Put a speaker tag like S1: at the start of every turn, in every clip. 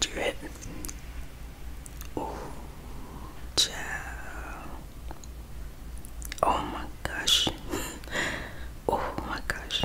S1: Do you Oh, child. Oh my gosh. oh my gosh.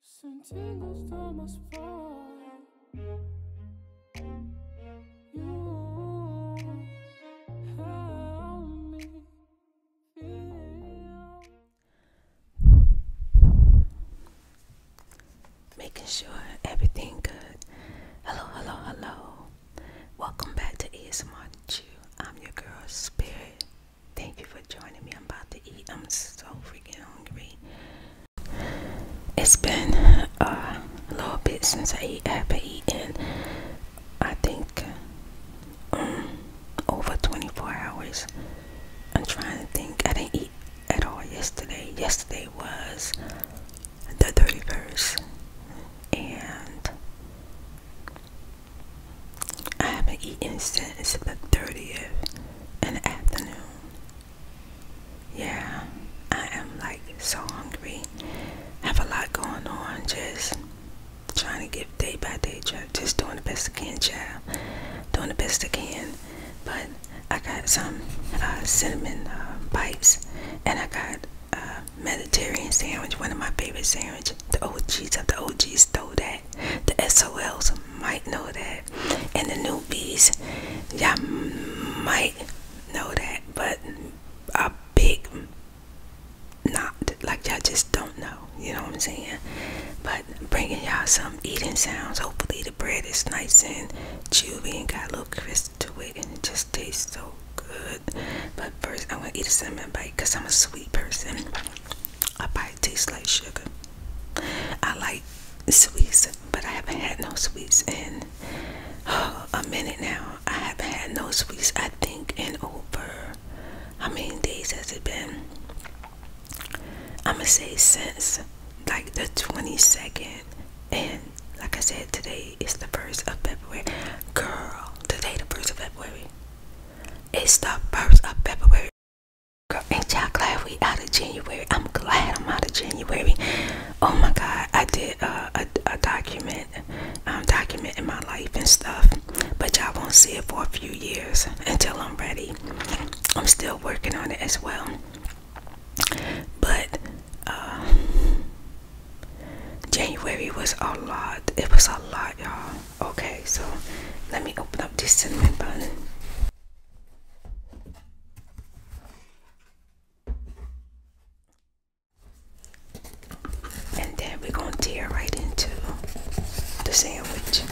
S1: Sentindo está mais forte. Making sure everything good. Hello, hello, hello. Welcome back to ASMR Chew. I'm your girl Spirit. Thank you for joining me. I'm about to eat. I'm so freaking hungry it's been a little bit since I have been eating. I think um, over 24 hours. I'm trying to think. I didn't eat at all yesterday. Yesterday was the 31st, and I haven't eaten since the 30th in the afternoon. Yeah, I am like so hungry. Have a lot going on. Just trying to give day by day. job. Just doing the best I can, child. Doing the best I can. But I got some uh, cinnamon bites, uh, and I got uh, Mediterranean sandwich. One of my favorite sandwich. The OGs of the OGs know that. The SOLs might know that. And the newbies, y'all might know that, but a big not like y'all just don't know. You know what I'm saying? But bringing y'all some eating sounds. Hopefully the bread is nice and chewy and got a little crisp to it, and it just tastes so good. But first, I'm gonna eat a cinnamon bite because I'm a sweet person. A bite tastes like sugar. I like sweets, but I haven't had no sweets in uh, a minute now. I haven't had no sweets, I think, in over how many days has it been? I'm gonna say since like the 22nd, and like I said, today is the 1st of February. Girl, today, the 1st of February. It's the 1st of February. Girl, ain't y'all glad we out of January? I'm glad I'm out of January. Oh my God, I did uh, a, document, um, document, um, documenting my life and stuff, but y'all won't see it for a few years until I'm ready. I'm still working on it as well, but uh, January was a lot. It was a lot, y'all. Okay, so let me open up this cinnamon bun. And then we're going to tear right into the sandwich.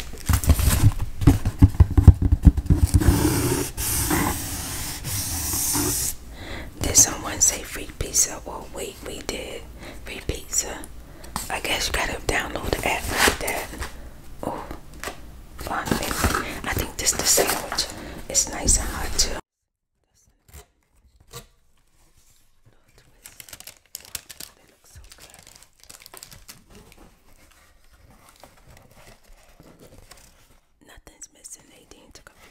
S1: Did someone say free pizza? Oh wait, we did. Free pizza. I guess you gotta download the app like that. Oh, long I think this the sandwich. It's nice and hot too. Nothing's missing. Nadine took a few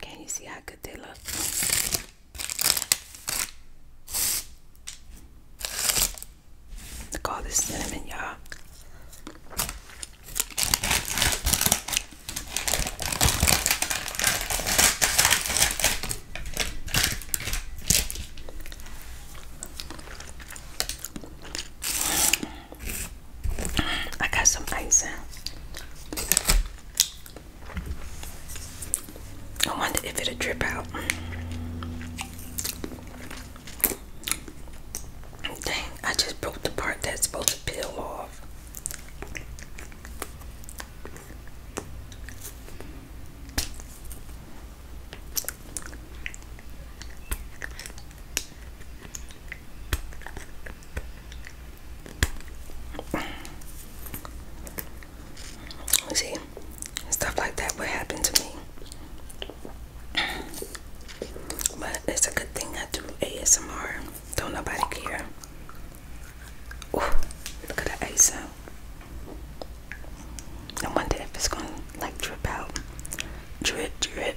S1: can you see how good they look? Look at all this cinnamon, y'all. I got some ice in. I wonder if it'll drip out. Dang, I just broke the part that's supposed to peel off. See, stuff like that would happen to me. But it's a good thing I do ASMR. Don't nobody care. look at the ice out. I wonder if it's gonna like drip out. Drip, drip.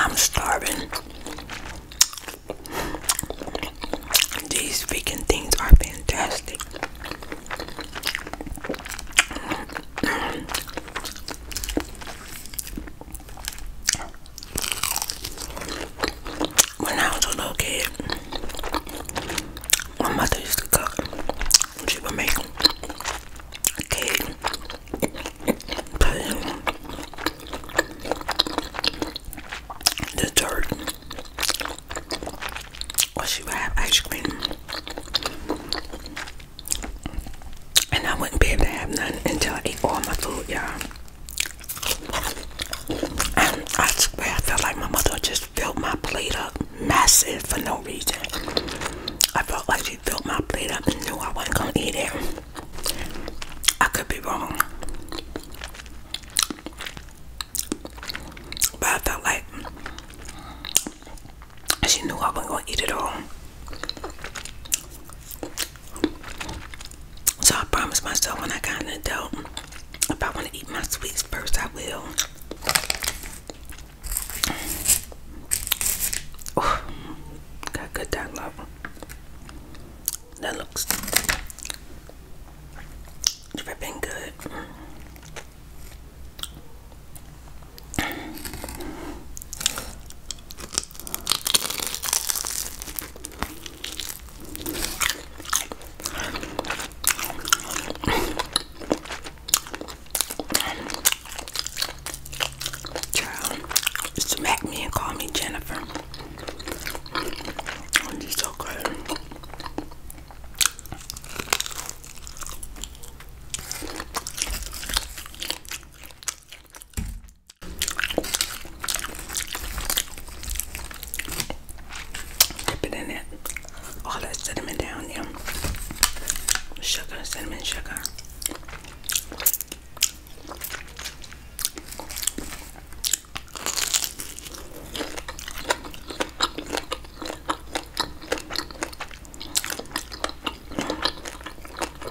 S1: I'm starving. These freaking things are fantastic. When I was a little kid, my mother used to cook. She would make cake, pudding, dessert, or she would have ice cream. And I wouldn't be able to have none until I ate all my food, y'all. I swear, I felt like my mother just filled my plate up massive for no reason. I felt like she filled my plate up and knew I wasn't gonna eat it. I could be wrong. But I felt like she knew I wasn't gonna eat it all. So I promised myself when I got an adult, if I want to eat my sweets first, I will. Ooh, got good that lava. That looks dripping good. Child, smack me and call me Jennifer. Oh, this so good. Dip it in it. All that cinnamon down, yum. Sugar, cinnamon, sugar.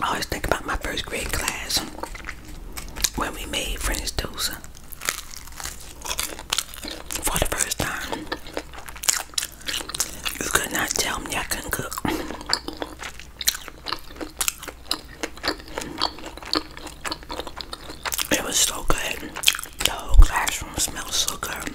S1: I always think about my first grade class when we made French toast for the first time. You could not tell me I couldn't cook. It was so good. The whole classroom smelled so good.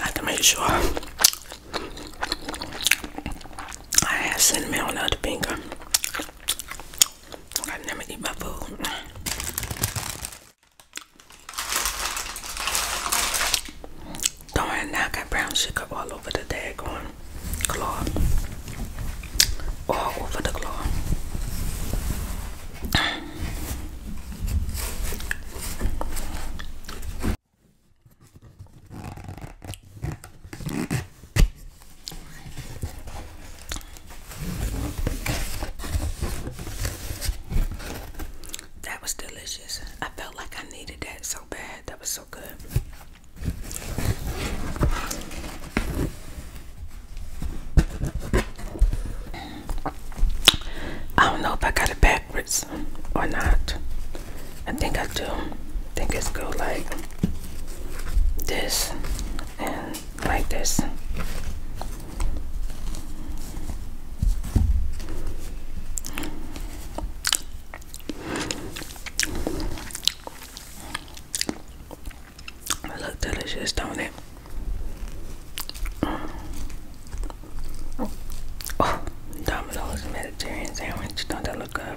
S1: I have to make sure I have cinnamon on the other finger. I never eat my food. Don't worry, now I got brown sugar all over the daggone claw. All over the claw. That was delicious. I felt like I needed that so bad. That was so good. I don't know if I got it backwards or not. I think I do. I think it's go like this and like this. It look delicious, don't it? Oh, Domino's Mediterranean sandwich. Don't that look up?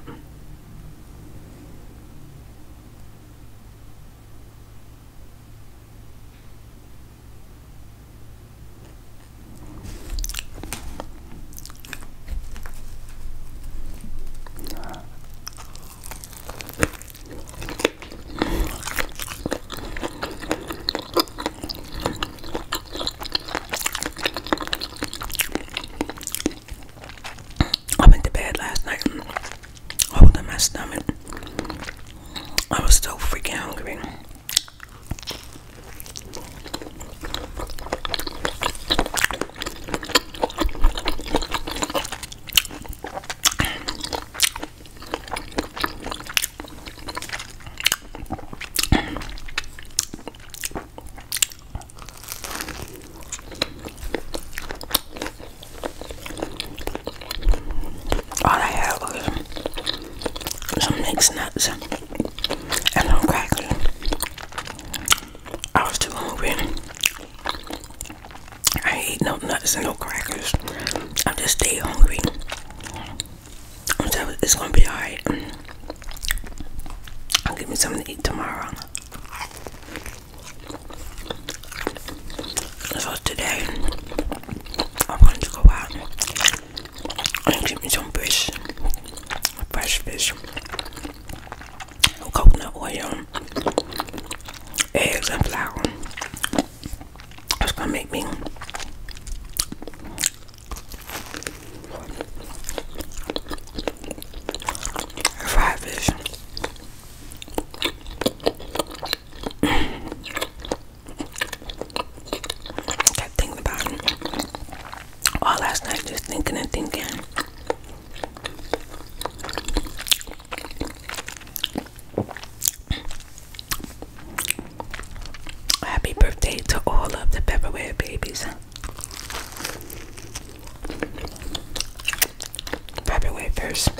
S1: I went to bed last night holding my stomach. I was so freaking hungry. I had some mixed nuts and some crackers. I was I ain't no nuts and no crackers. I just stay hungry it's gonna be alright. I'll give me something to eat tomorrow. So today I am going to go out and get me some fish. Fresh fish. Coconut oil, eggs and flour. It's gonna make me fried fish. Kept thinking about it all last night, just thinking and thinking. Happy birthday to all of the February babies. February 1st.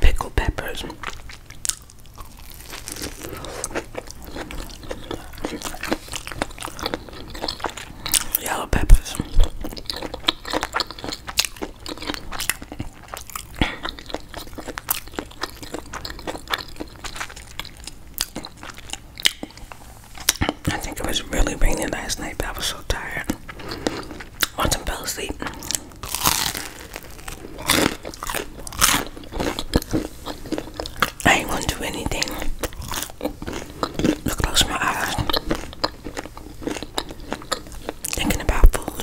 S1: Pickled peppers. Yellow peppers. I think it was really raining last night, but I was so tired. Once I fell asleep. I ain't gonna do anything. I close my eyes. Thinking about food.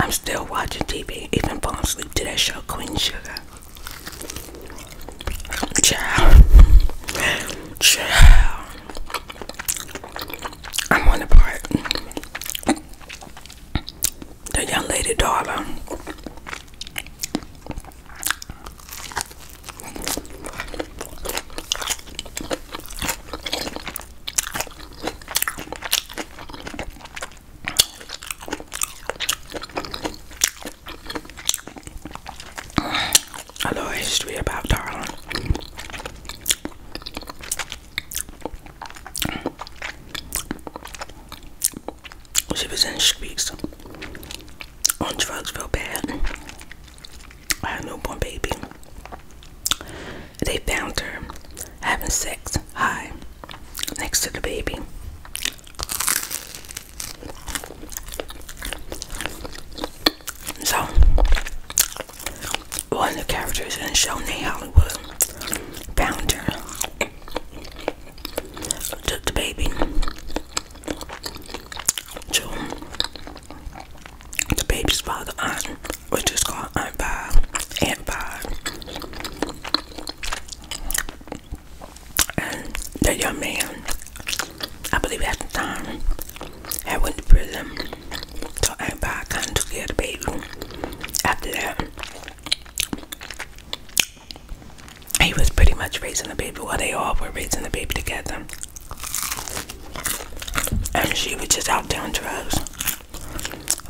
S1: I'm still watching TV, even falling asleep to that show, Queen Sugar. Child. Child. I'm on the part. The young lady daughter a little history about Darwin. She was in Schweetz on drugs real bad. I had a newborn baby. They found her having sex high next to the baby. So, one of the characters in the show, Me Hollywood, found her, took the baby, the baby's father, Aunt, which is called Aunt Bob, Aunt Bob. And the young man, I believe at the time, had went to prison. So i Bob kind of took care of the baby. After that, he was pretty much raising the baby while they all were raising the baby together. And she was just out there on drugs.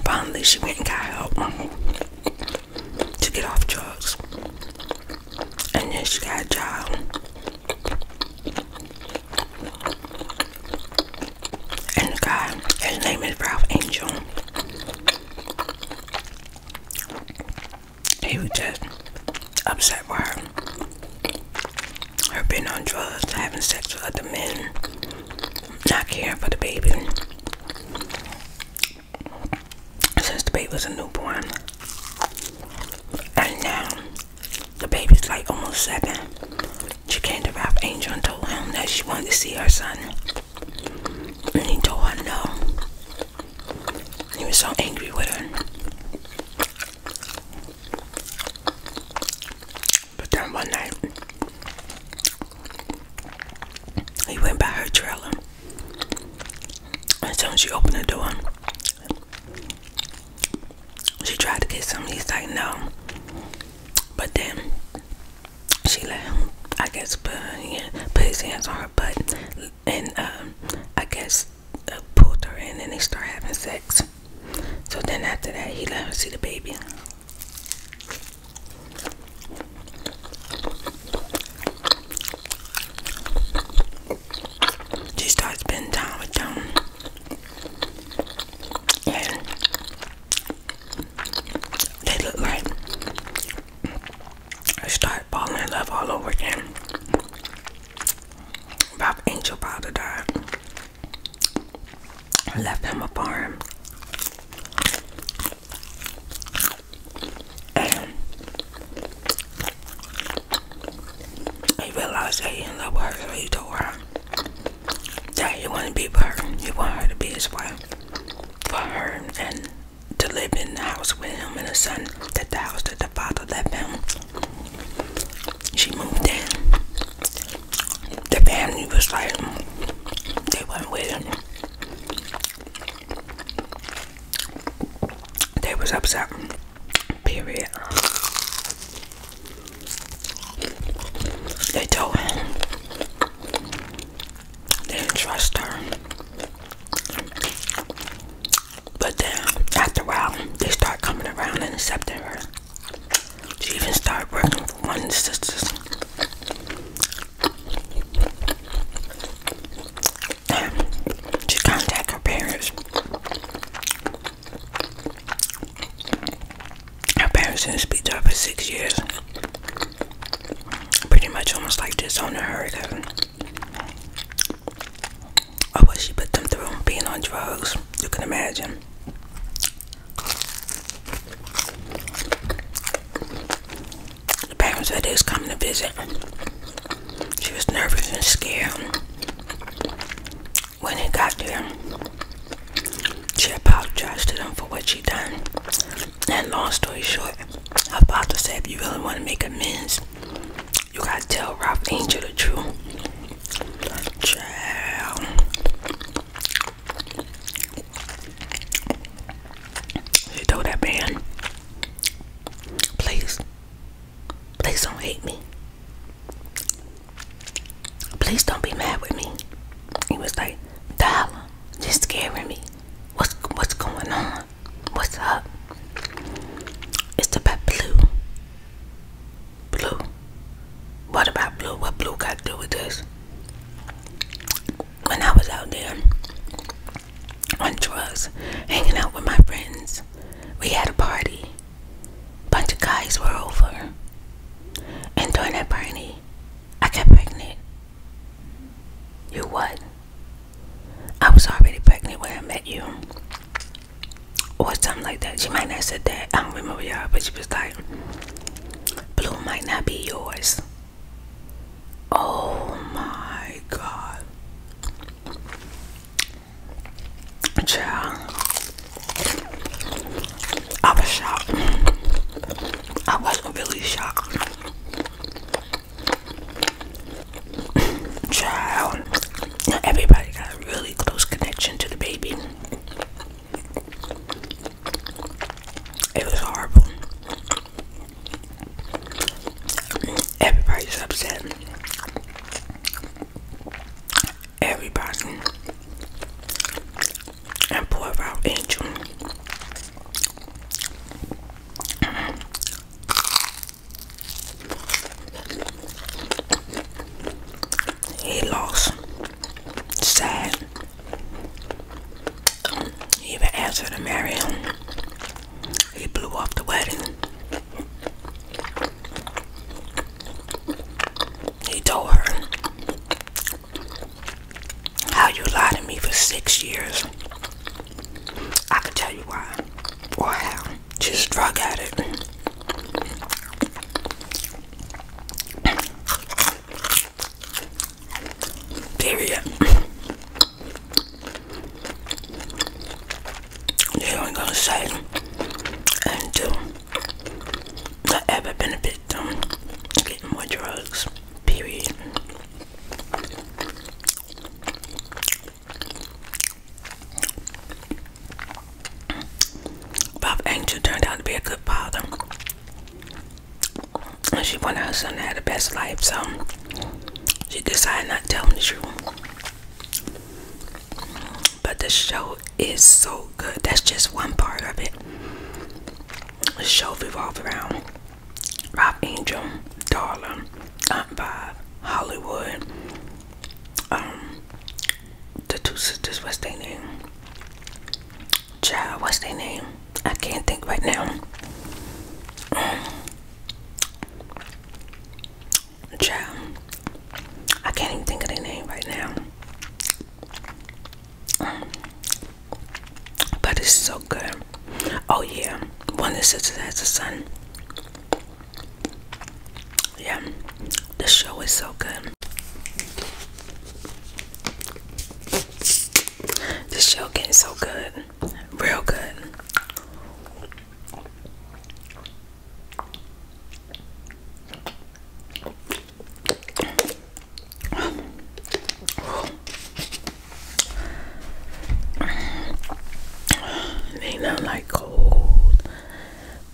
S1: Finally, she went and got help to get off drugs. And then she got a job. And the guy, his name is Ralph Angel. He was just upset with her. Her being on drugs, having sex with other men, not caring for the baby. Since the baby was a newborn. And now, the baby's like almost seven. She came to Ralph Angel and told him that she wanted to see her son. And he told her no. He was so angry with her. But then one night, he went by her trailer. As soon as she opened the door, she tried to kiss him. He's like, no. But then she let him, I guess, put, put his hands on her butt, and um, I guess uh, pulled her in and they start having sex. So then after that, he let her see the baby. She started spending time with them. And they look like I start falling in love all over again. Bob Angel Powder died. Left him a farm. And he realized that he in love with her, so he told her that he wanted to be with her. He wanted her to be his wife for her and to live in the house with him and his son that the house that the father left him. She moved in. The family was like they went with him. They was upset. Period. They told him. They didn't trust her. But then after a while, they start coming around and accepting her. She even started working for one of the sisters. she contacted her parents. Her parents didn't speak to her for six years. Pretty much almost like on a her of what she put them through being on drugs. You can imagine. The parents said they was coming to visit. She was nervous and scared. When they got there, she apologized to them for what she done. And long story short, I'm about to say if you really want to make amends, you gotta tell Ralph Angel the truth. Child. You told that man, please, please don't hate me. Please don't be mad with me. He was like, Dollar, just scaring me. What's what's going on? What's up? It's about blue. Blue. What about blue? What blue got to do with this? When I was out there on drugs, hanging out with my friends, we had a party. Bunch of guys were over. And during that party, I got pregnant. You what? I was already pregnant when I met you. Or something like that. She might not have said that. I don't remember y'all, but she was like, Blue might not be yours. Oh my god. Child. I was shocked. I wasn't really shocked. Child, everybody got a really close connection to the baby. It was horrible. Everybody's upset. Everybody. And poor our angel. He lost. Sad. He even asked her to marry him. He blew off the wedding. He told her, How you lied to me for six years. I can tell you why Why? how. She's a drug addict. Period. ain't gonna say and do ever been a victim more drugs. Period. Bob Angel turned out to be a good father. And she wanted her son to have the best life, so she decided not to tell him the truth. But the show is so good. That's just one part of it. The show revolves around Rob Angel, darling. Aunt um, Bob, Hollywood, um, the two sisters, what's their name? Child, what's their name? I can't think right now. Um, Child, I can't even think of their name right now. But it's so good. Oh yeah, one of the sisters has a son. Yeah, the show is so good. This show getting so good, real good. Ain't nothing like cold,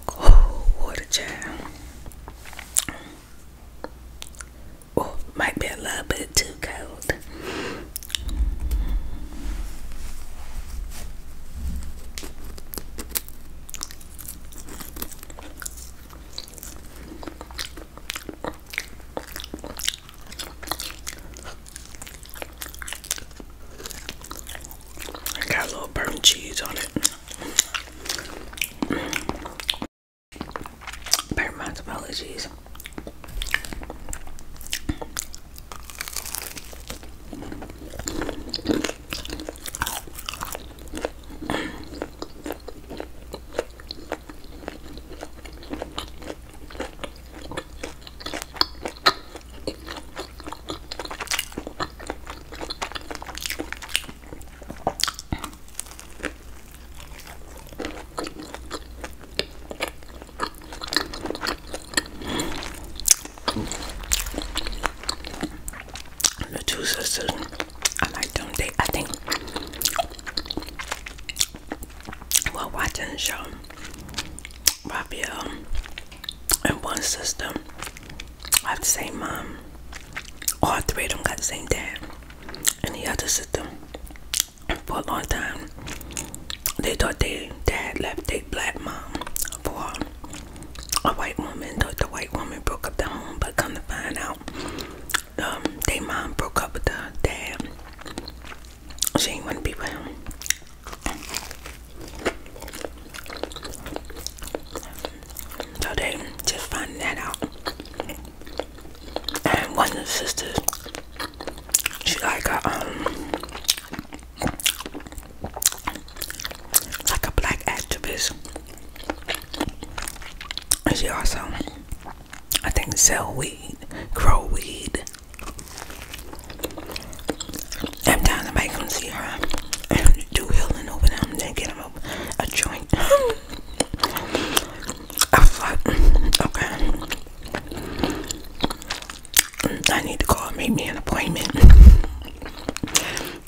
S1: cold water, child. Oh, might be a little bit too cold. I got a little burnt cheese on it. Burnt my apologies. The two sisters, I like them. They, I think, while watching the show, Raphael and one sister have the same mom. All three of them got the same dad. And the other sister, for a long time, they thought their dad left their black mom for a white woman. Thought the white woman broke up the home, but come to find out, um, their mom broke up with the dad. She ain't want So they just finding that out. And one of the sisters, she like a um like a black activist. And she also I think sell weed, grow weed. I'm down to make him see her do healing over them, then get him a, joint. I was okay, I need to call and make me an appointment.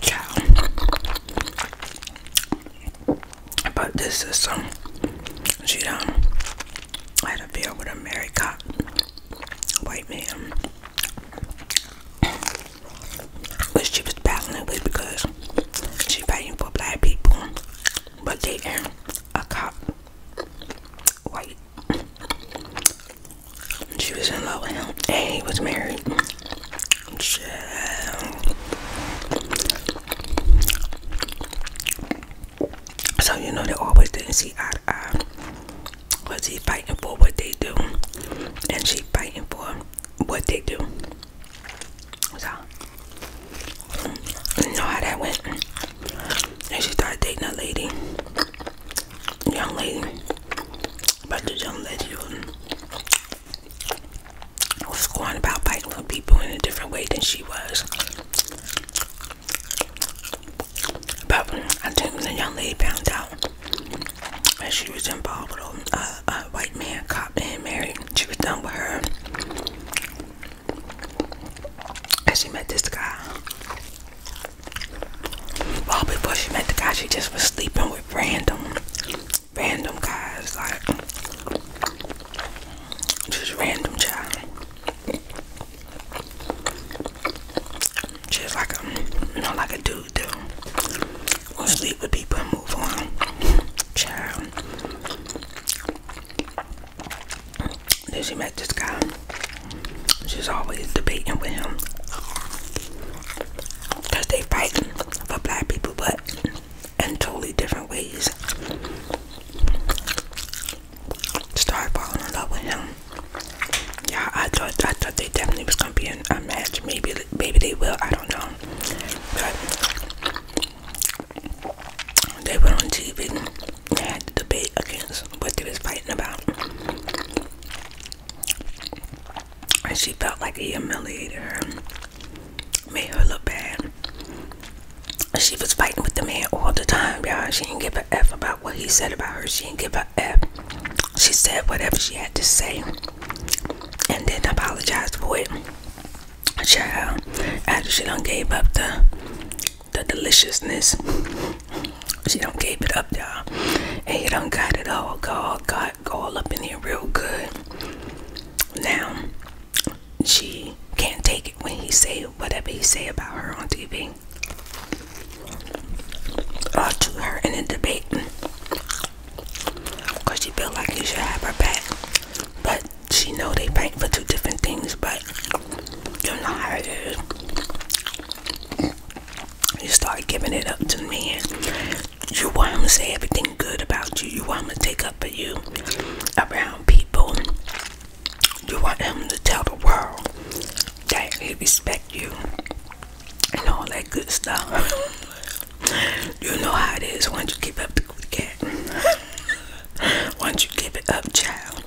S1: Child. But this is some, she um, I had a beer with a married cop, white man, which she was battling with because she fighting for black people, but they ain't a cop, white. She was in love with him, and he was married. Shit. So you know they always didn't see eye to eye. Was he fighting for what they do? And she fighting for what they do. So you know how that went. And she started dating a lady. Young lady. But the young lady was going about fighting for people in a different way than she was. But I think the young lady found out that she was involved with a white man cop and married. She was done with her. And she met this guy. Well, before she met the guy, she just was sleeping with random, random guys, like just random guys. Just like a, you like a dude do. will sleep with people and move on. Child. Then she met this guy. She's always debating with him. Cause they fight for black people, but in totally different ways started falling in love with him. Yeah, I thought I thought they definitely was gonna be in a match. Maybe maybe they will. I don't know. But they went on TV and had to debate against what they was fighting about, and she felt like he humiliated her, made her look bad. She was fighting with the man all the time, y'all. She didn't get give give about what he said about her. She didn't give a F. She said whatever she had to say and then apologized for it. Child, after she done gave up the the deliciousness, she don't gave it up, y'all. And Don't got it all, God, God, all up in here real good. Now, she can't take it when he say whatever he say about her on TV to her in a debate because she feel like you should have her back but she know they fight for two different things but you know how it is you start giving it up to the you want him to say everything good about you you want him to take up for you around people you want him to tell the world that he respect you and all that good stuff. you know how it is once you give up the cat. once you give it up, child.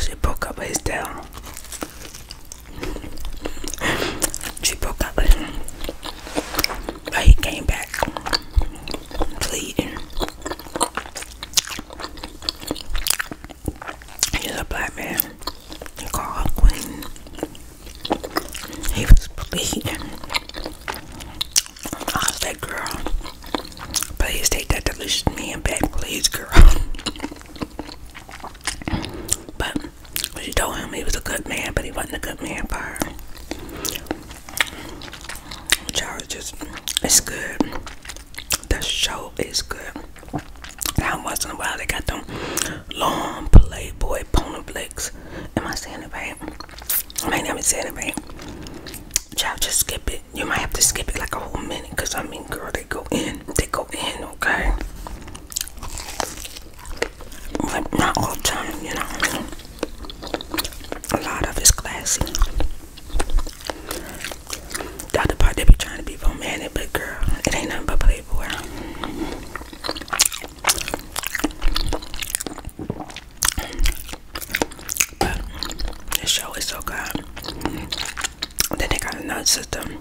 S1: She broke up his tail. She broke up with him. he came back pleading. He's a black man. He called her Queen. He was bleeding. I girl, please take that delicious man back, please, girl. But she told him he was a good man, but he wasn't a good man for her. Charles it's good. The show is good. Now once in a while they got them long playboy pony flicks. Am I saying it right? I might not be saying it right. Child, just skip it. You might have to skip it like a whole minute because I mean girl they go in. They go in, okay? But not all the time, you know a lot of it's classy. The other part they be trying to be romantic, but girl, it ain't nothing but playboy. But this show is so good. Then they got another system.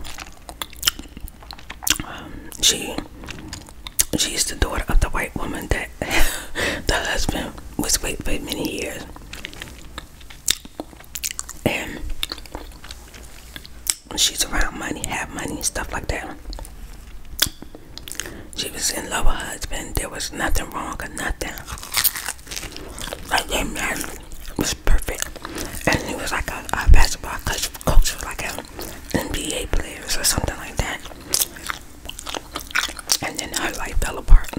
S1: Um, she she's the daughter of the white woman that the husband was with for many years. And she's around money, have money, stuff like that. She was in love with her husband. There was nothing wrong or nothing. Like their marriage was perfect. And he was like a, basketball coach, coach was like an NBA player or something like that and then her life fell apart.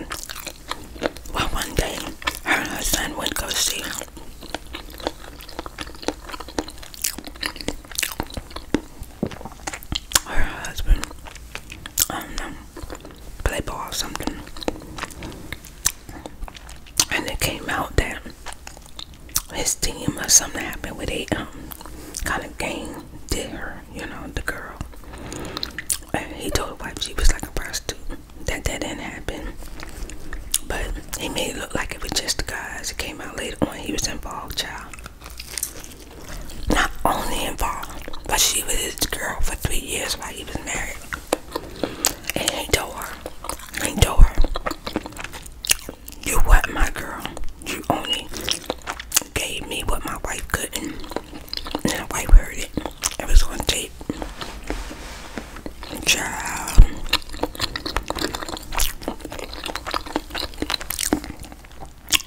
S1: Well, one day, her and her son would go see her husband, I don't um, know, play ball or something. And it came out that his team or something happened with a um, kind of game did her you know, the girl. he told the wife she was like a prostitute. That that didn't happen. But he made it look like it was just the guys. It came out later on he was involved, y'all. Not only involved, but she was his girl for three years while he was married. And he told her, he told her, you what my girl, you only gave me what my wife couldn't. And my wife heard it. It was on tape.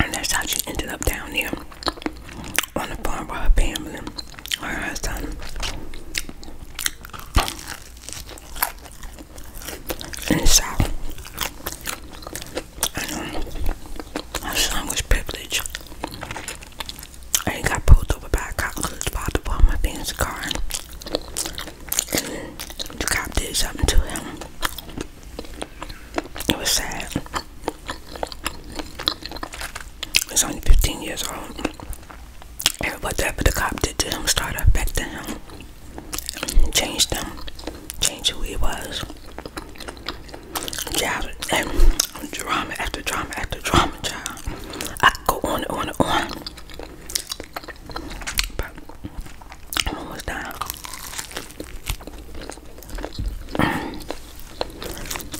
S1: And that's how she ended up down there on the farm with her family, her husband. In the I know. My son was privileged. And he got pulled over by a cop because his father bought in the car. And the cop did something to him. It was sad. He's only 15 years old. And whatever the cop did to him started back down, Changed him. Changed who he was drama after drama after drama, child. I could go on and on and on. I'm almost done. And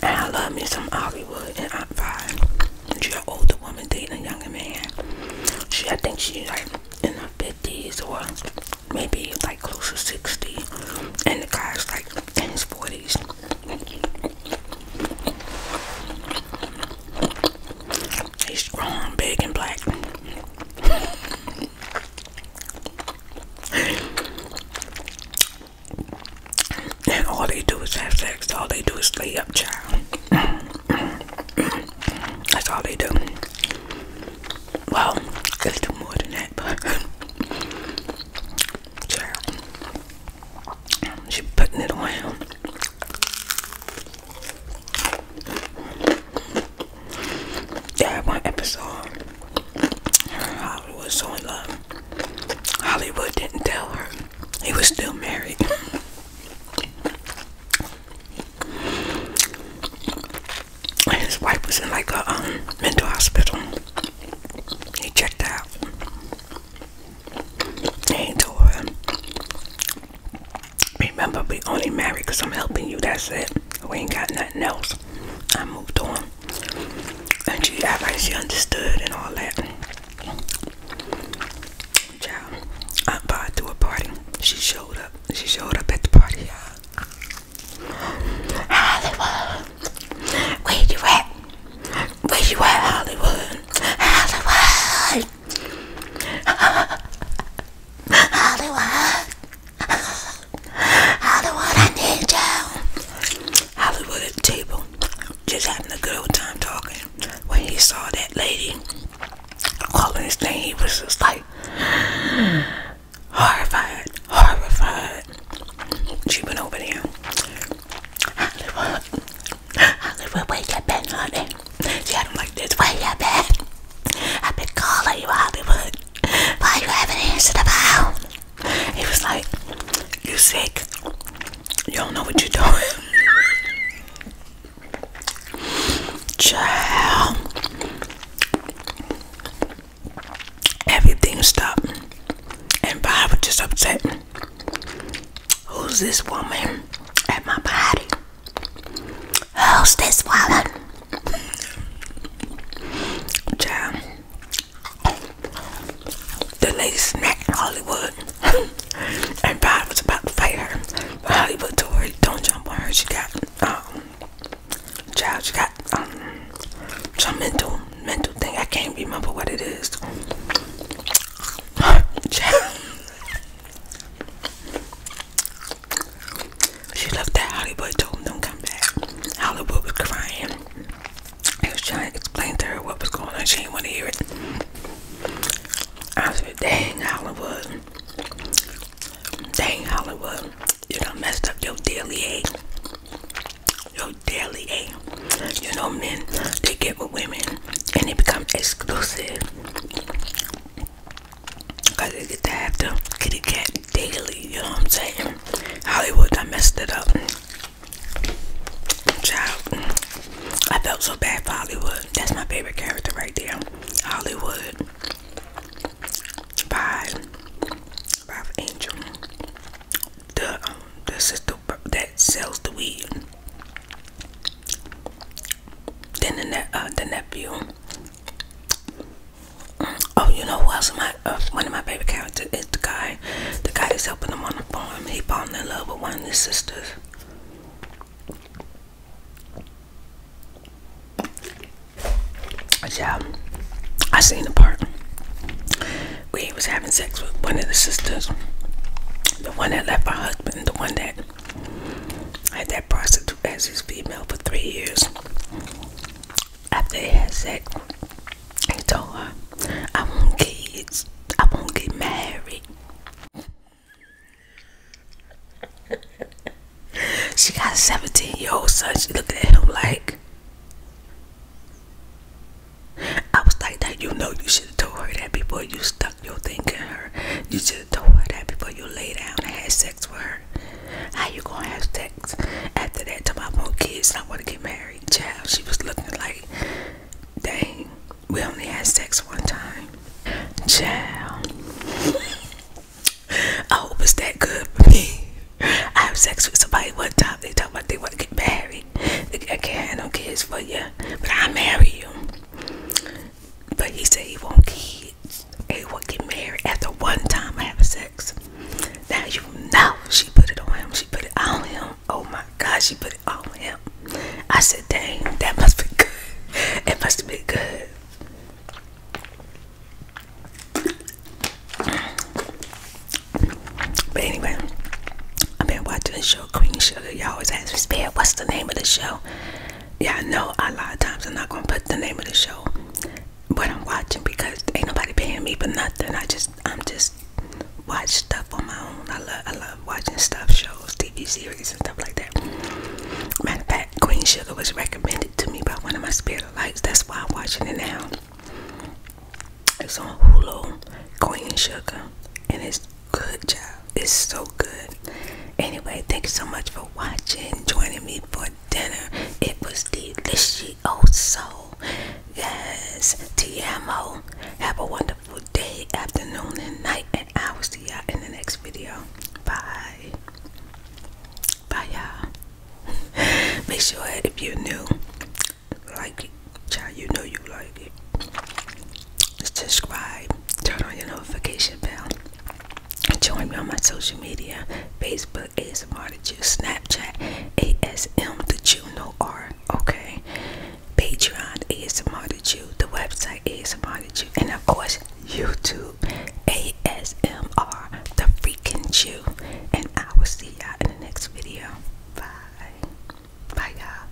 S1: I love me some Hollywood and Aunt Five. She an older woman dating a younger man. She, I think she's like in her 50s or maybe like close to 60 and the guy's like in his 40s he's strong big and black and all they do is have sex all they do is lay up child that's all they do well they do more than that but she putting it on him. one episode, Hollywood was so in love. Hollywood didn't tell her he was still married and his wife was in like a um, mental hospital. He checked out. And he told her, Remember, we only married because I'm helping you. That's it. We ain't got nothing else. I moved on. And she, I like, she understood and all that. Child, Aunt Bob threw a party. She showed up. She showed up at the party, you Hollywood, where you at? Where you at, Hollywood? Hollywood, Hollywood, Hollywood, I need you. Hollywood at the table, just having a good old time talking. When he saw that lady calling his name, he was just like horrified, horrified. She went over there. Hollywood, Hollywood, where you been, honey? She had not like this. way you been? I've been calling you, Hollywood. Why you haven't answered the phone? He was like, you sick? You don't know what you're doing. Child. Everything stopped, and Bob was just upset. Who's this woman at my party? Who's this woman? Child. The lady smacked Hollywood, and Bob was about to fight her. Hollywood told "Don't jump on her. She got um, Child, she got um some mental mental thing. I can't remember what it is. Child. She left that Hollywood told him don't come back. Hollywood was crying. He was trying to explain to her what was going on. She didn't want to hear it. I said, dang Hollywood. Dang Hollywood, you done messed up your daily aid. Your daily aid. You know men, they get with women and they become exclusive. Cause they get to have the kitty cat daily, you know what I'm saying? Hollywood I messed it up. Child, I felt so bad for Hollywood. That's my favorite character right there. Hollywood by by Angel, the um, the sister that sells the weed. Then the ne uh, the nephew. Oh, you know who else? My uh, one of my favorite characters is the guy, the guy that's helping him on the farm. He falling in love with one of his sisters. Yeah, I seen the part We was having sex with one of the sisters, the one that left my husband, the one that had that prostitute as his female for three years. After they had sex, he told her, "I want kids. I want not get married." She got a 17 year old son. She looked at him like, I was like, that you know, you should have told her that before you stuck your thing in her. You should have told her that before you lay down and had sex with her. How you gonna have sex after that? I about more kids and I want to get married. Child, she was looking like, dang, we only had sex one time. Child. I hope it's that good I have sex with somebody one time. They talk about they want to get married. I can't have no kids for you, but I marry you. But he said he want kids. He want to get married after one time I have sex. Now you know she put it on him. She put it on him. Oh my God, she put it on him. I said, dang, that must be good. It must have been good. But anyway, I've been watching the show Queen Sugar. Y'all always ask me, Spare, what's the name of the show? Y'all know a lot of times I'm not gonna put the name of the show what I'm watching because ain't nobody paying me for nothing. I just I'm just watch stuff on my own. I love I love watching stuff, shows, TV series and stuff like that. Matter of fact, Queen Sugar was recommended to me by one of my spirit that's why I'm watching it now. It's on Hulu, Queen Sugar, and it's good job. It's so good. Anyway, thank you so much for watching, joining me for dinner. It was delicious. Also, Yes, TMO, Have a wonderful day, afternoon, and night, and I will see y'all in the next video. Bye. Bye, y'all. Make sure if you're new, like it. Child, you know you like it. Just Subscribe, turn on your notification bell. and Join me on my social media Facebook, ASMR that you, Snapchat, ASM The Juno know okay? Patreon, ASMR that you, the website, ASMR that you, and of course, YouTube. ASMR, the freaking chew, And I will see y'all in the next video. Bye. Bye, y'all.